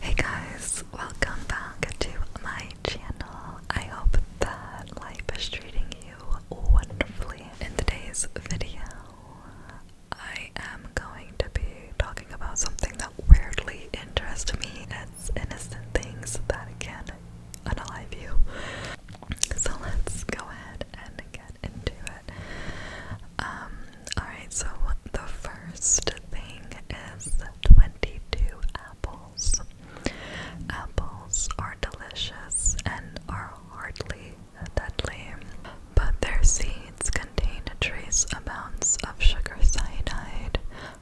Hey guys, welcome back to my channel. I hope that life is treating you wonderfully. In today's video, I am going to be talking about something that weirdly interests me. It's innocent things that can unalive you. So let's go ahead and get into it. Um, Alright, so the first thing is 22 apples. Apples are delicious and are hardly deadly, but their seeds contain trace amounts of sugar cyanide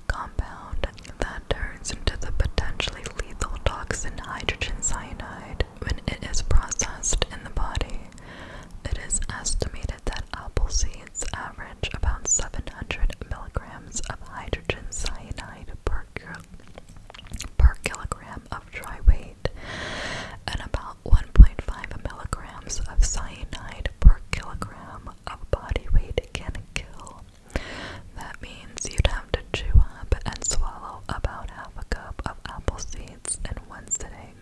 compound that turns into the potentially lethal toxin hydrogen cyanide when it is processed in the body. It is estimated that apple seeds average about 700 milligrams of hydrogen cyanide per, kilogram of dry weight and about 1.5 milligrams of cyanide per kilogram of body weight can kill. That means you'd have to chew up and swallow about half a cup of apple seeds in one sitting,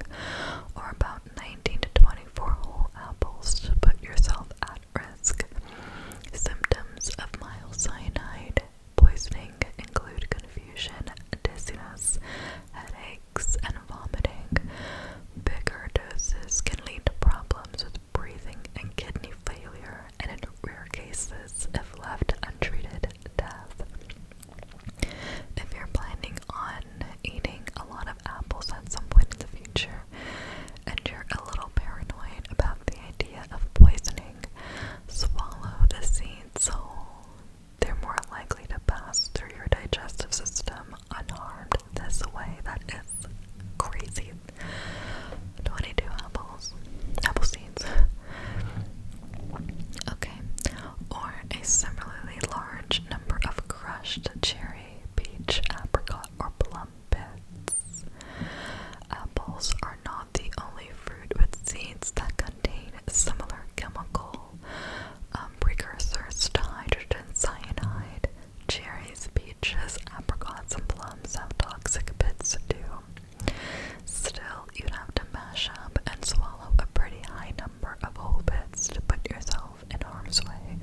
or about 19 to 24 whole apples to put yourself at risk. Symptoms of myocyanide poisoning include confusion, dizziness, headaches, and vomiting. Bigger doses can lead to problems with breathing and kidney failure, and in rare cases, if left untreated, death. If you're planning on eating a lot of apples at some point in the future and you're a little paranoid about the idea of poisoning, swallow the seeds whole. They're more likely to pass through your digestive system unharmed this way. That is crazy. 22 apples, apple seeds. Okay, or a similarly large number of crushed cherry, peach, apricot, or plum pits. Apples are not the only fruit with seeds that contain similar chemical um, precursors to hydrogen cyanide. Cherries, peaches, apricots, and plums have toxic pits too. Still, Still, you'd have to mash up and swallow a pretty high number of whole bits to put yourself in harm's way.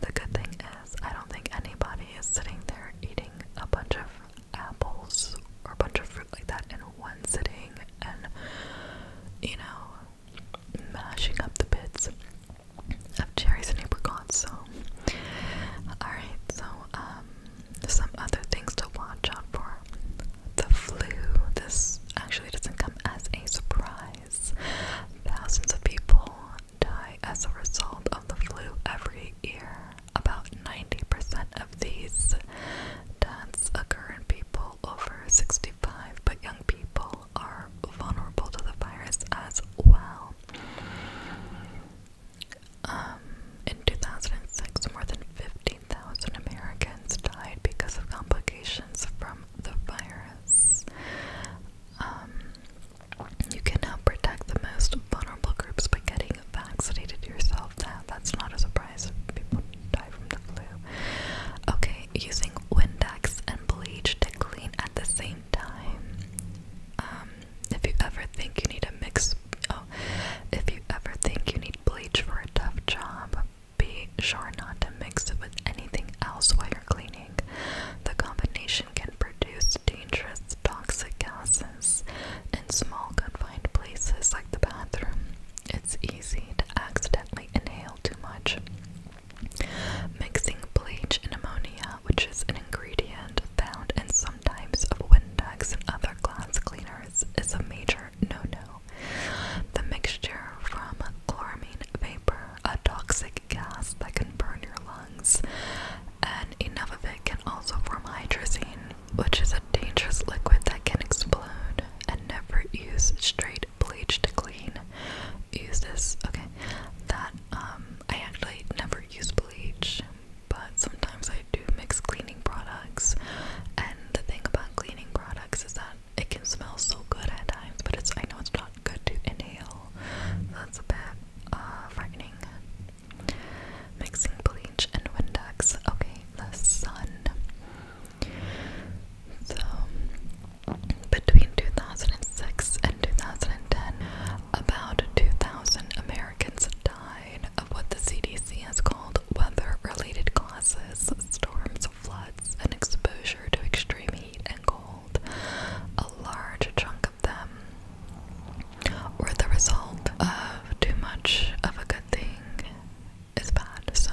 The good thing is, I don't think anybody is sitting there eating a bunch of apples or a bunch of fruit like that in one sitting and, you know, mashing up the bits of cherries and apricots. So, alright, so, um, some other things to watch out for the flu. This actually doesn't come as a surprise. Thousands of people die as a result of the flu every year. About 90% of these deaths occur in people over 65, but young people are vulnerable to the virus as well. Um, in 2006, more than 15,000 Americans died because of complications from the virus. Um, you can help protect the most vulnerable groups by getting vaccinated yourself. That, that's not a surprise if people die from the flu. Okay, using Windex and bleach to clean at the same time. Um, if you ever think you need a mix. Oh, if you ever think you need bleach for a tough job, be sure not to mix it with anything else while you're cleaning. The combination can produce dangerous toxic gases in small confined places like the bathroom. It's easy to accidentally inhale too much. Mixing bleach and ammonia, which is an ingredient found in some types of Windex and other glass cleaners, is a major no-no. The mixture from chlorine vapor, a toxic gas that can burn your lungs, and enough of it can also form hydrazine, which is a dangerous liquid that can explode. And never use straight bleach to clean. Use this, okay? That um, I actually never use bleach but sometimes I do mix cleaning products and the thing about cleaning products is that it can smell so good at times but it's I know it's not good to inhale. That's a bit uh, frightening. Mixing bleach and Windex. Okay, the sun. So between 2006 and 2010, about 2,000 Americans died of what the CDC has called weather related causes, storms, floods, and exposure to extreme heat and cold, a large chunk of them were the result of too much of a good thing is bad. So,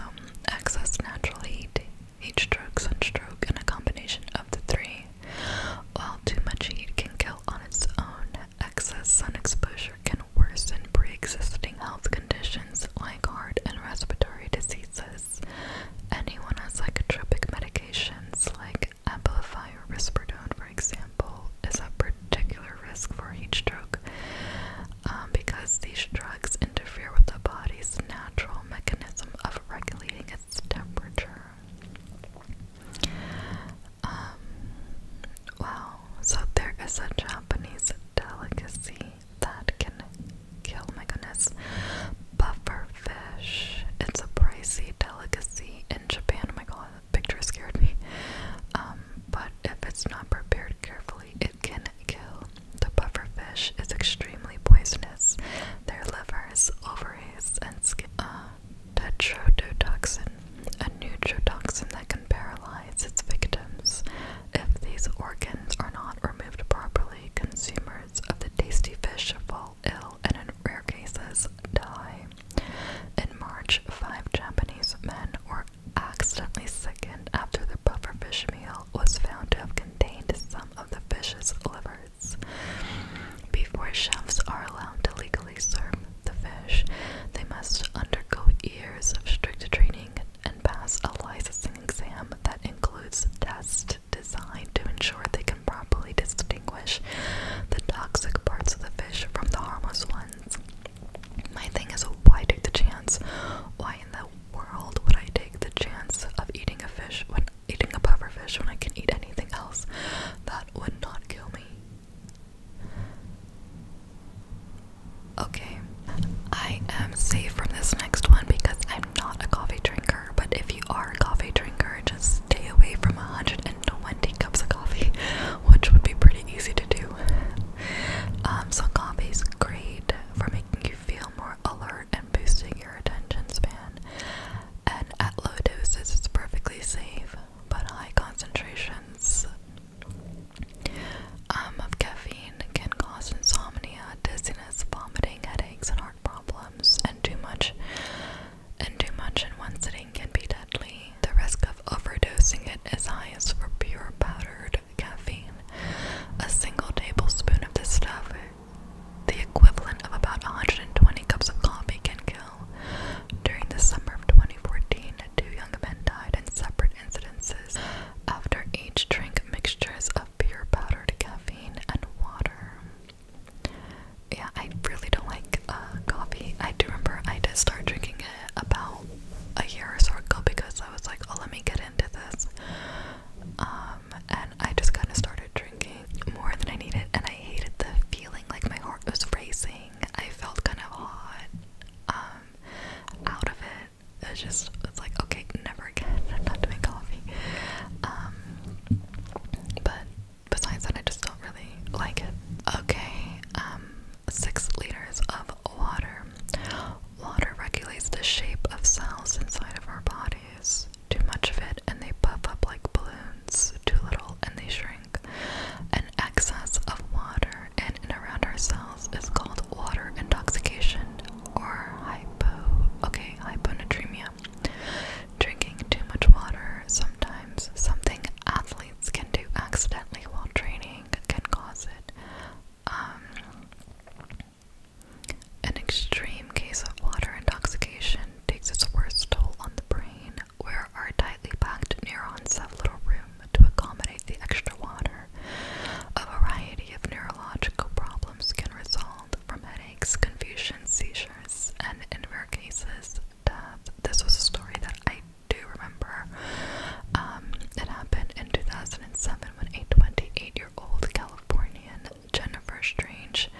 excess natural heat, heat stroke, sunstroke, and a combination of the three. While too much heat can kill on its own, excess sun exposure can can worsen pre existing health conditions like heart and respiratory diseases. Anyone on psychotropic medications like amphetamine or risperidone, for example, is at particular risk for heat stroke um, because these drugs interfere with the body's natural mechanism of regulating its temperature. Um, wow, so there is a Japanese delicacy that can kill my goodness. Buffer fish. It's a pricey delicacy in Japan. Oh my god, the picture scared me. Um, but if it's not prepared carefully, it can kill. The buffer fish is extremely poisonous. Their livers, ovaries, and skin. Uh, tetrodotoxin, a neutrotoxin that can paralyze its victims. If these organs are not removed properly, consumers of the tasty fish fall ill and in rare cases die. In March, five Japanese men were accidentally sickened after their pufferfish meal was found to have contained some of the fish's livers. Before chefs are allowed to legally properly serve the fish, they must undergo years of strict training and pass a licensing exam that includes tests designed to ensure they can properly distinguish the toxic parts of the fish from the harmless ones. My thing is, why take the chance? Why in the world would I take the chance of eating a fish when eating a pufferfish when I can eat anything else? That would not kill me. Okay, I am safe from this next one because I'm not a coffee drinker. But if you are a coffee drinker, just stay away from 120 cups of coffee, which would be pretty easy to do. Um, so, coffee is great for making you feel more alert and boosting your attention span. And at low doses, it's perfectly safe but high concentrations um, of caffeine can cause insomnia, dizziness, vomiting, headaches, and heart problems. And too much, and too much in one sitting can be deadly. The risk of overdosing it is highest for pure powdered caffeine. A single tablespoon of this stuff, the equivalent of about 120 cups of coffee, can kill during the summer of 2014, two young men died in separate incidences after each drank mixtures of pure powdered caffeine and water. Yeah, I really don't like uh, coffee. I do remember I did start drinking it about a year or so ago because I was like, oh, let me get into this. Um, and I just kind of started drinking more than I needed, and I hated the feeling like my heart was racing. I felt kind of hot um, out of it. it's just, it's like, okay, never again. I'm not coffee. Um, but besides that, I just don't really like it. Okay, um, six liters of water. Water regulates the shape of cells inside of our bodies. Too much of it, and they puff up like balloons. Too little, and they shrink. An excess of water in and around our cells is called water intoxication or hypo okay, hyponatremia. Drinking too much water, sometimes something athletes can do accidentally while training can cause it. Um, an extreme case of water intoxication takes its worst toll on the brain where our tightly packed neurons have little room to accommodate the extra water. A variety of neurological problems can result from headaches, confusion, seizures, and in rare cases, death. This was a story that I do remember. Um, it happened in 2007 when a 28 year old Californian Jennifer Strange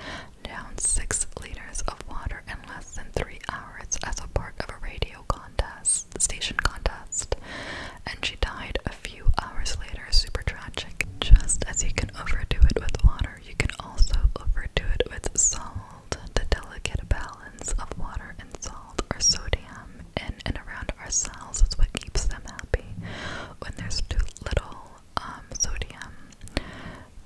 down six liters of water in less than three hours as a part of a radio contest station contest, and she died a few hours later. Super tragic. Just as you can overdo it with water, you can also overdo it with salt. The delicate balance of water and salt or sodium in and around our cells is what keeps them happy. When there's too little, um, sodium,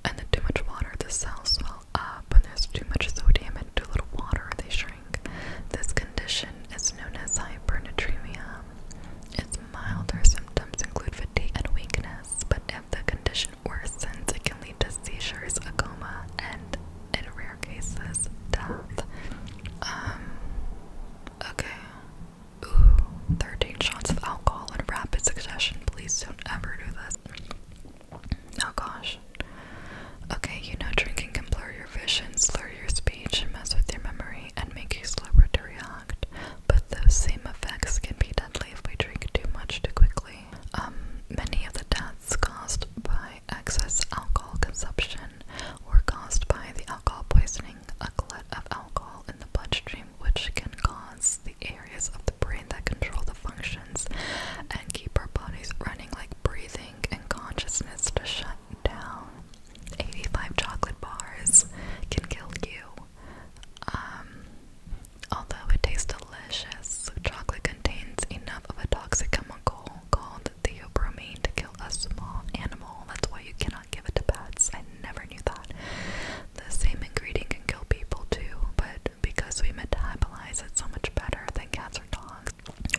and the too much water, the cells swell up. When there's too much sodium and too little water, they shrink. This condition is known as hypernatremia. Its milder symptoms include fatigue and weakness, but if the condition worsens, it can lead to seizures, a coma, and in rare cases, death. Um, okay. Ooh, 13 shots of alcohol in rapid succession. Please don't ever do this. Oh gosh. Okay, you know drinking can blur your vision, slur your speech, and mess with your memory, and make you slower to react. But those same effects can be deadly if we drink too much too quickly. Um, many of the deaths caused by excess alcohol consumption were caused by the alcohol poisoning, a glut of alcohol in the bloodstream which can cause the areas of the brain that control the functions and keep our bodies running, like breathing and consciousness, to shut down. 85 chocolate bars can kill you. Um, although it tastes delicious, chocolate contains enough of a toxic chemical called theobromine to kill a small animal. That's why you cannot give it to pets. I never knew that the same ingredient can kill people too, but because we metabolize it so much better than cats or dogs,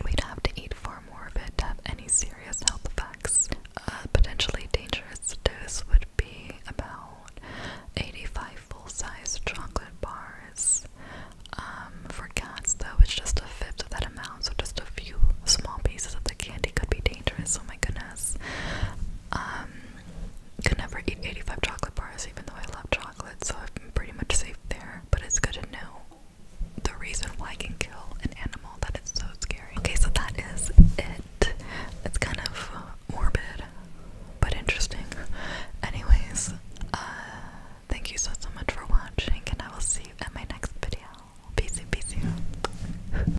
we'd have to eat far more of it to have any serious health effects. A potentially dangerous dose would be about 85 full-size chocolate bars. Um, for cats, though, it's just a fifth of that amount, so just a few small pieces of the candy could be dangerous. Oh my goodness. Um, could never eat 85 chocolate bars, even though I love chocolate, so I'm pretty much safe there. But it's good to know the reason why I can kill an animal that is so scary. Okay, so that is it. It's kind of morbid, but interesting. Anyways, uh, thank you so, so much for watching, and I will see you in my next video. Peace, peace.